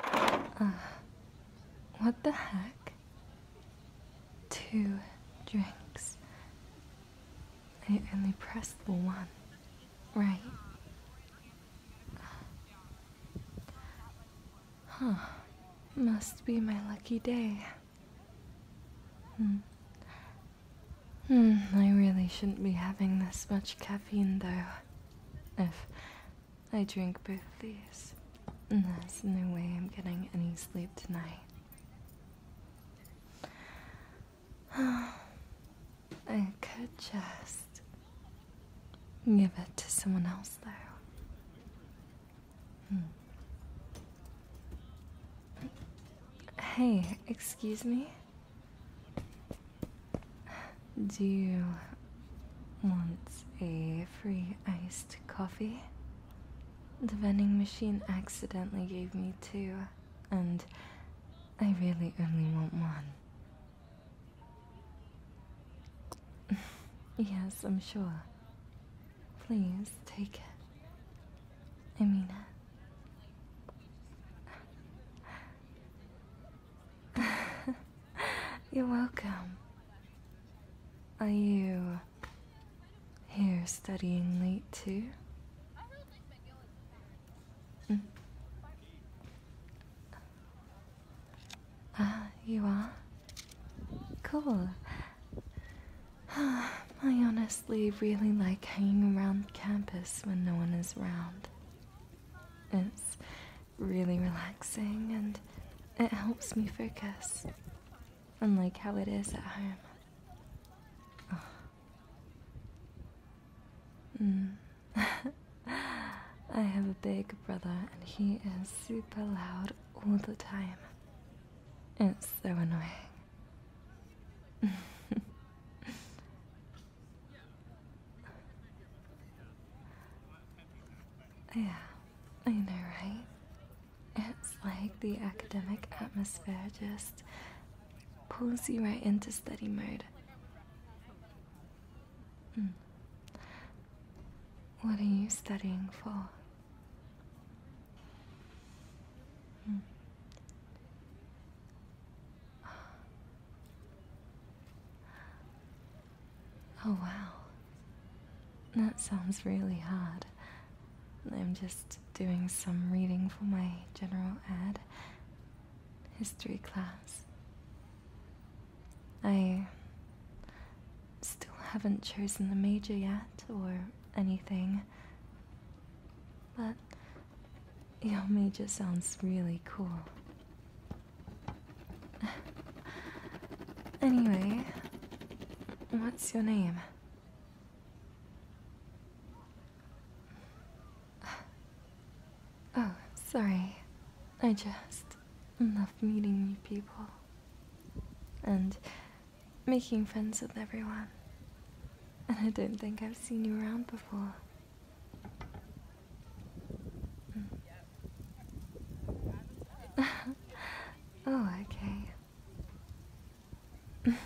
Uh, what the heck? Two drinks. I only pressed the one, right? Huh. Must be my lucky day. Hmm. Hmm, I really shouldn't be having this much caffeine though. If I drink both these. And there's no way I'm getting any sleep tonight. I could just give it to someone else, though. Hmm. Hey, excuse me? Do you want a free iced coffee? The vending machine accidentally gave me two, and I really only want one. yes, I'm sure. Please take it. I You're welcome. Are you here studying late too? Mm. Ah, you are? Cool. I honestly really like hanging around campus when no one is around. It's really relaxing and it helps me focus, unlike how it is at home. Hmm. I have a big brother and he is super loud all the time. It's so annoying. Yeah, I know, right? It's like the academic atmosphere just pulls you right into study mode. Hmm. What are you studying for? Hmm. Oh, wow. That sounds really hard. I'm just doing some reading for my general ed history class. I still haven't chosen the major yet or anything, but your major sounds really cool. Anyway, what's your name? Oh, sorry. I just love meeting new people and making friends with everyone. And I don't think I've seen you around before. oh, okay.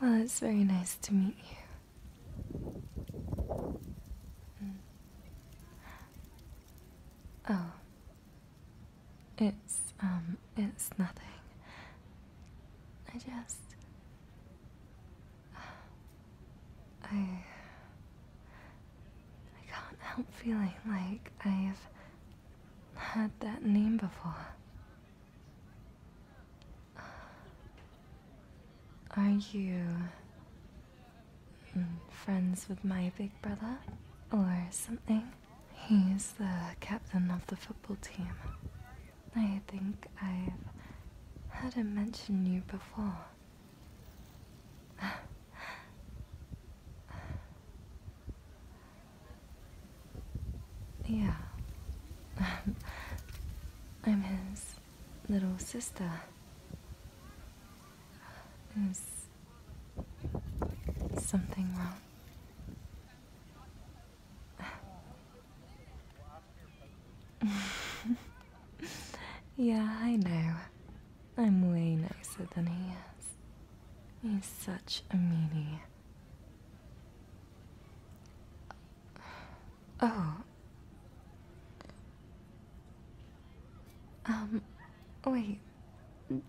well, it's very nice to meet you. Oh. It's, um, it's nothing. I just. I. I can't help feeling like I've had that name before. Are you mm, friends with my big brother or something? He's the captain of the football team. I think I've heard him mention you before. yeah. I'm his little sister. Is something wrong? yeah, I know. I'm way nicer than he is. He's such a meanie. Oh. Um, wait.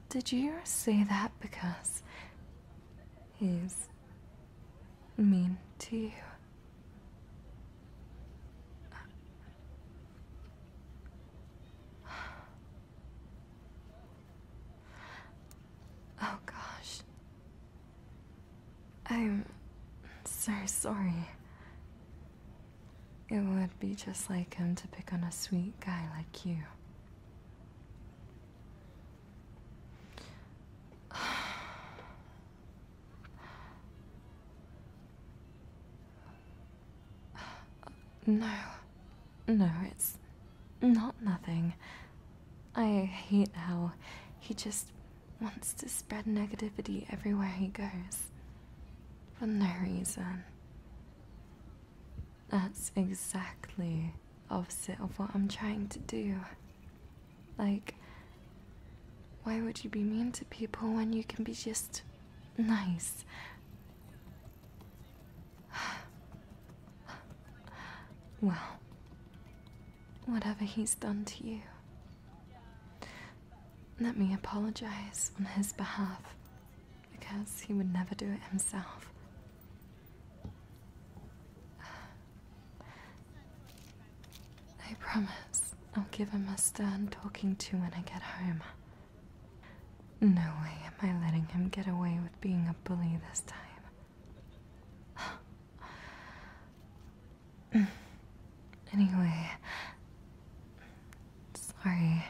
Did you say that because he's mean to you? Oh gosh. I'm so sorry. It would be just like him to pick on a sweet guy like you. No. No, it's not nothing. I hate how he just wants to spread negativity everywhere he goes. For no reason. That's exactly opposite of what I'm trying to do. Like, why would you be mean to people when you can be just nice? well, whatever he's done to you, let me apologize on his behalf because he would never do it himself. I promise I'll give him a stern talking to when I get home. No way am I letting him get away with being a bully this time. anyway, sorry.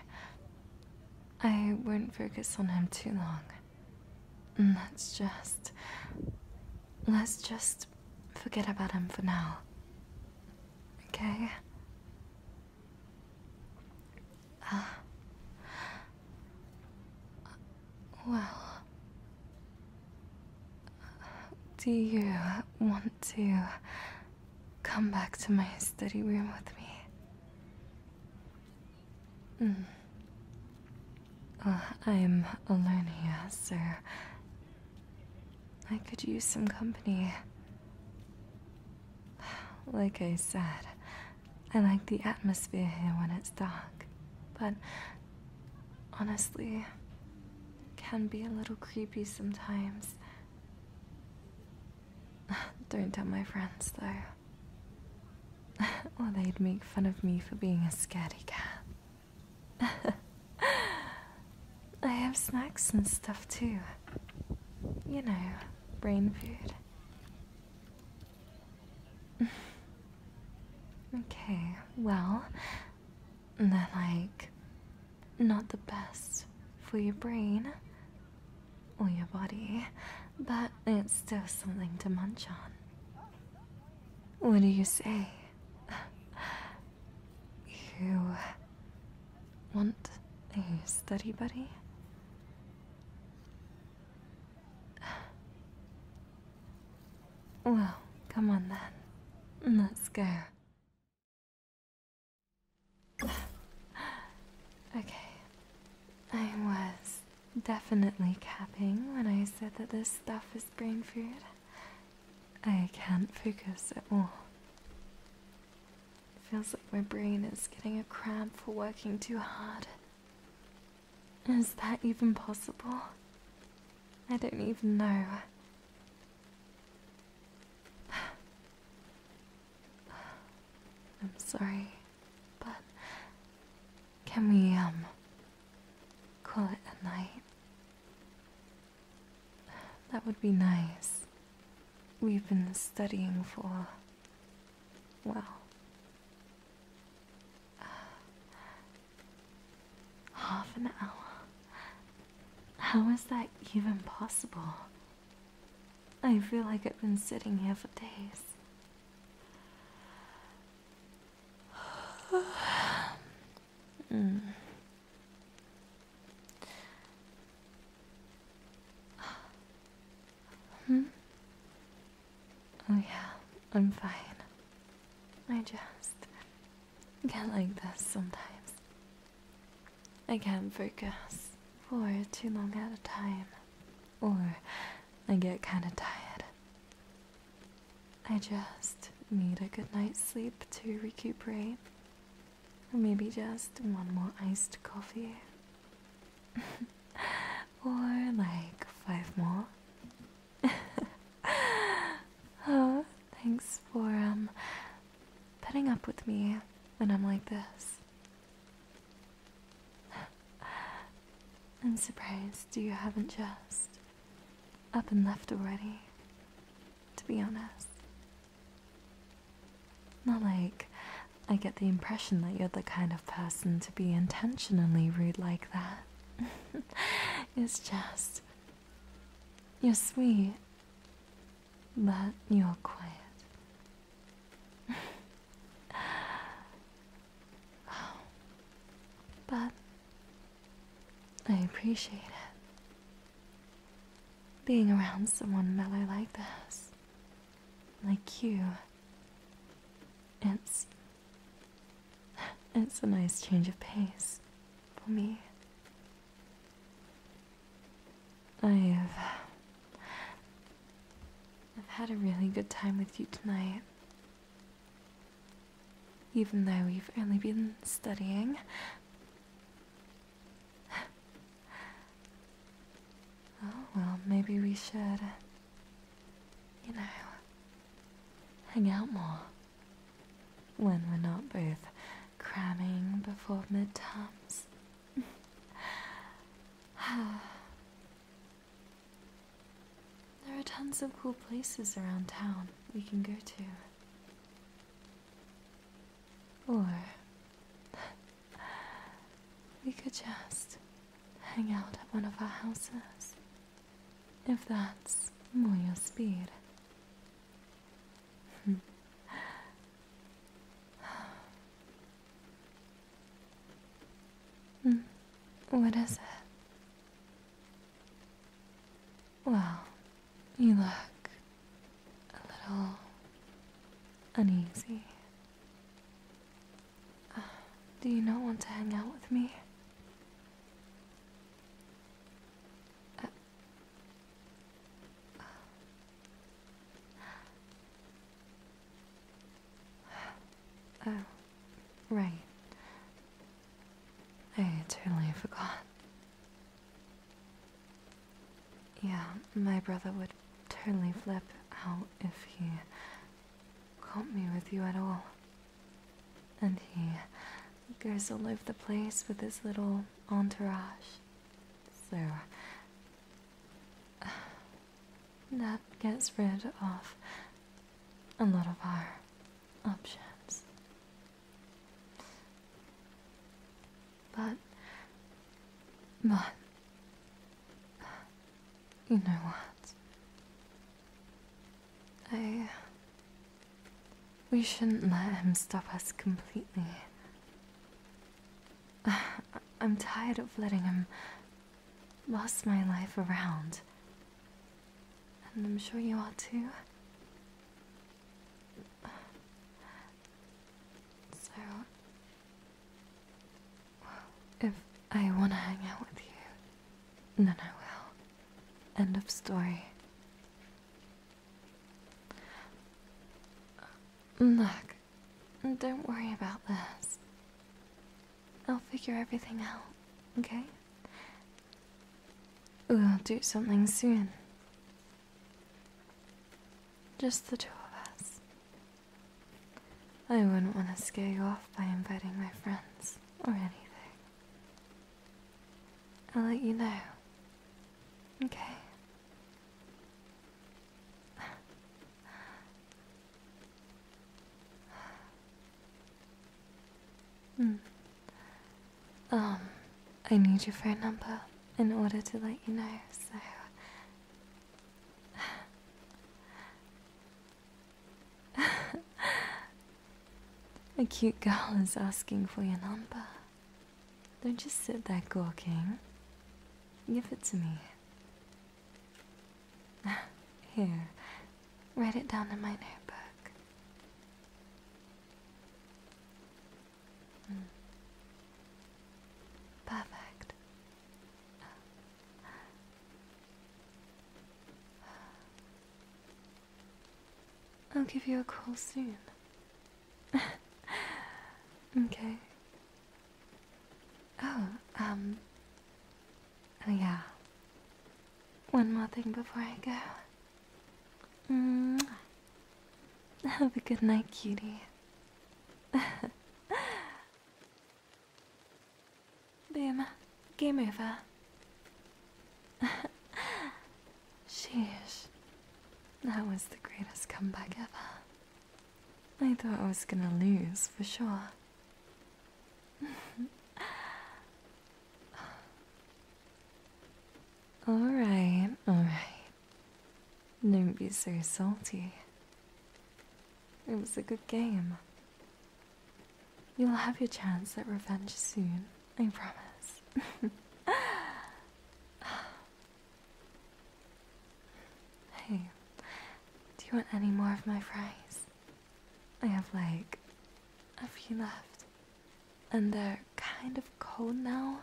I won't focus on him too long. Mm, let's just. Let's just forget about him for now. Okay? Uh, well. Do you want to come back to my study room with me? Mm. Ah, I'm alone here, sir. I could use some company. Like I said, I like the atmosphere here when it's dark, but honestly, can be a little creepy sometimes. Don't tell my friends, though. or they'd make fun of me for being a scaredy cat. I have snacks and stuff too. You know, brain food. okay, well, they're like not the best for your brain or your body, but it's still something to munch on. What do you say? You want a study buddy? Well, come on then. Let's go. Okay. I was definitely capping when I said that this stuff is brain food. I can't focus at all. It feels like my brain is getting a cramp for working too hard. Is that even possible? I don't even know. I'm sorry, but can we, um, call it a night? That would be nice. We've been studying for, well, uh, half an hour. How is that even possible? I feel like I've been sitting here for days mm. Hmm? Oh yeah, I'm fine. I just get like this sometimes. I can't focus for too long at a time. Or I get kind of tired. I just need a good night's sleep to recuperate. Maybe just one more iced coffee. or like five more. Oh, thanks for um, putting up with me when I'm like this. I'm surprised you haven't just up and left already, to be honest. Not like I get the impression that you're the kind of person to be intentionally rude like that. it's just. You're sweet, but you're quiet. but I appreciate it. Being around someone mellow like this, like you, it's. It's a nice change of pace for me. I've. I've had a really good time with you tonight. Even though we've only been studying. oh, well, maybe we should, you know, hang out more. When we're not both cramming before midterms. There are tons of cool places around town we can go to. Or we could just hang out at one of our houses, if that's more your speed. Mm. What is it? Well, you look a little uneasy. Uh, do you not want to hang out with me? Uh, Oh, right. I totally forgot. Yeah, my brother would totally flip out if he caught me with you at all. And he goes all over the place with his little entourage. So, that gets rid of a lot of our options. But, but, you know what? I. We shouldn't let him stop us completely. I'm tired of letting him Lost my life around. And I'm sure you are too. So, if I want to hang out with you, then I will. End of story. Look, Mm, don't worry about this. I'll figure everything out, okay? We'll do something soon. Just the two of us. I wouldn't want to scare you off by inviting my friends or anything. I'll let you know. Okay. Hmm. Um, I need your phone number in order to let you know, so. A cute girl is asking for your number. Don't just sit there gawking. Give it to me. Here, write it down in my notebook. Hmm. Perfect. I'll give you a call soon. okay. Oh, um. yeah. One more thing before I go. Mm. Have a good night, cutie. Boom. Game over. Sheesh. That was the greatest comeback ever. I thought I was gonna lose for sure. alright, alright. Don't be so salty. It was a good game. You'll have your chance at revenge soon, I promise. Hey, do you want any more of my fries? I have like a few left. And they're kind of cold now,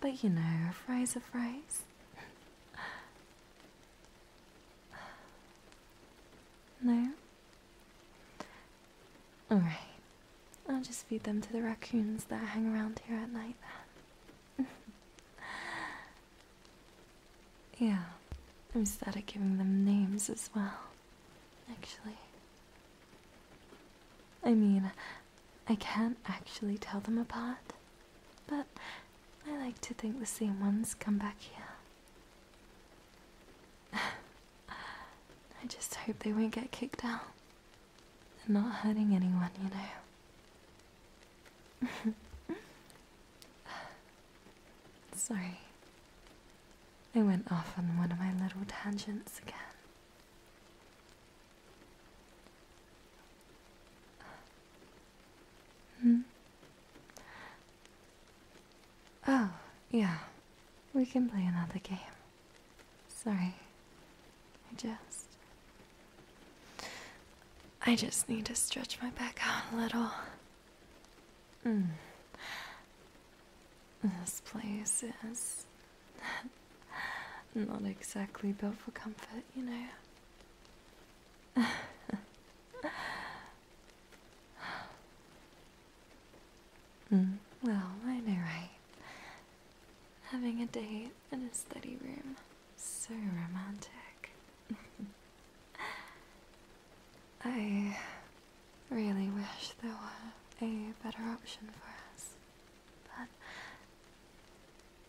but you know, fries are fries. no? Alright, I'll just feed them to the raccoons that hang around here at night yeah, I'm started giving them names as well, actually. I mean, I can't actually tell them apart, but I like to think the same ones come back here. I just hope they won't get kicked out and not hurting anyone, you know. Sorry. I went off on one of my little tangents again. Hmm? Oh, yeah. We can play another game. Sorry. I just. I just need to stretch my back out a little. Mm. This place is. not exactly built for comfort, you know. mm, well, I know, right? Having a date in a study room. So romantic. I really wish there were a better option for us.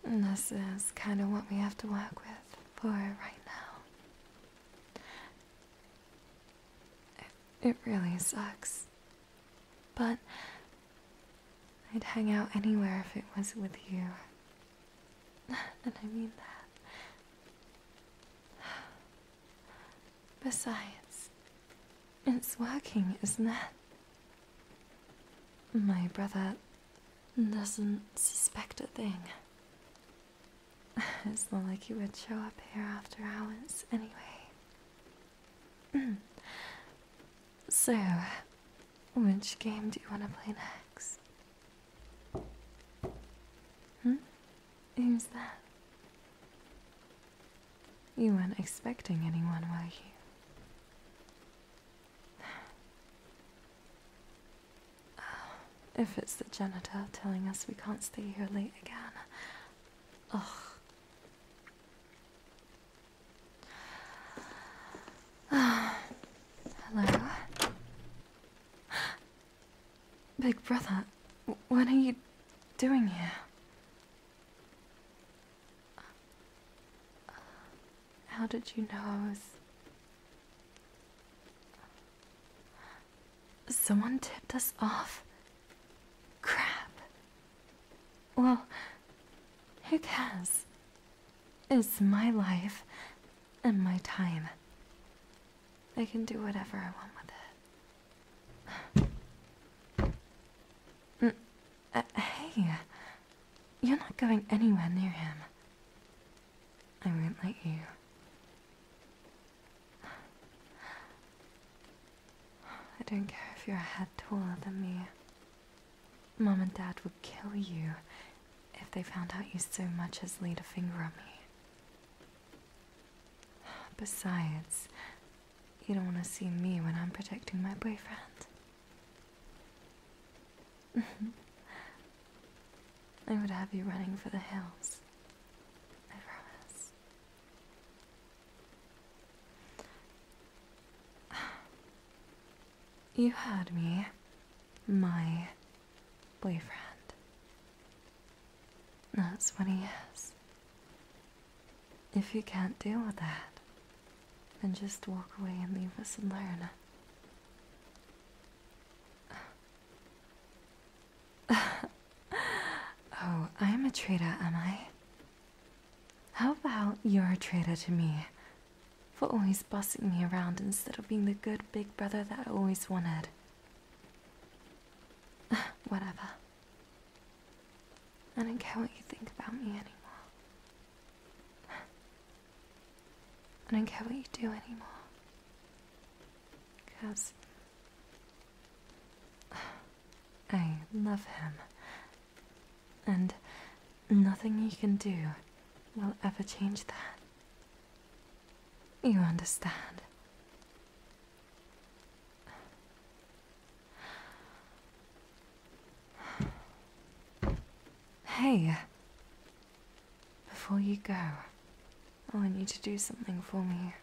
But this is kind of what we have to work with for right now. It, it really sucks. But I'd hang out anywhere if it was with you. and I mean that. Besides, it's working, isn't it? My brother doesn't suspect a thing. It's not like he would show up here after hours anyway. so, which game do you want to play next? Hmm? Who's that? You weren't expecting anyone, were you? Oh, if it's the janitor telling us we can't stay here late again. Ugh. Hello? Big brother, what are you doing here? How did you know Someone tipped us off? Crap. Well, who cares? It's my life and my time. I can do whatever I want with it. Mm, uh, hey, you're not going anywhere near him. I won't let you. I don't care if you're a head taller than me. Mom and Dad would kill you if they found out you so much as laid a finger on me. Besides, you don't want to see me when I'm protecting my boyfriend. I would have you running for the hills. I promise. You heard me, my boyfriend. That's what he is. If you can't deal with that, then just walk away and leave us alone. oh, I'm a traitor, am I? How about you're a traitor to me for always bossing me around instead of being the good big brother that I always wanted? Whatever. I don't care what you think about me anymore. I don't care what you do anymore. Because I love him and nothing you can do will ever change that. You understand. Hey, before you go, I want you to do something for me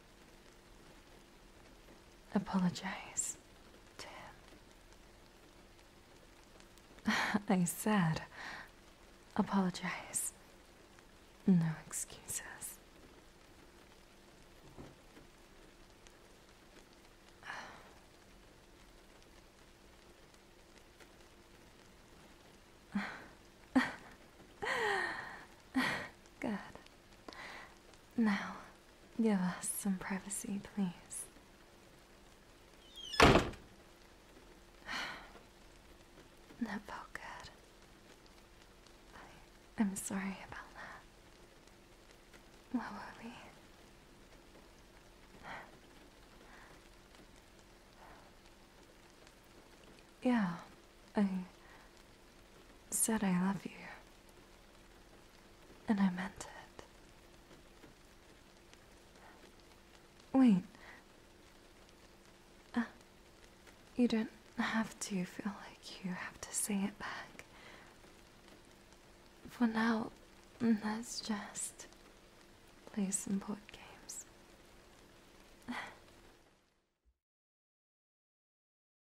apologize to him. I said, apologize. No excuses. Good. Now. Give us some privacy, please. That felt good. I, am sorry about that. What were we? Yeah, I said I love you. And I meant it. Wait. Uh, you don't have to feel like you have to say it back. For now, let's just play some board games.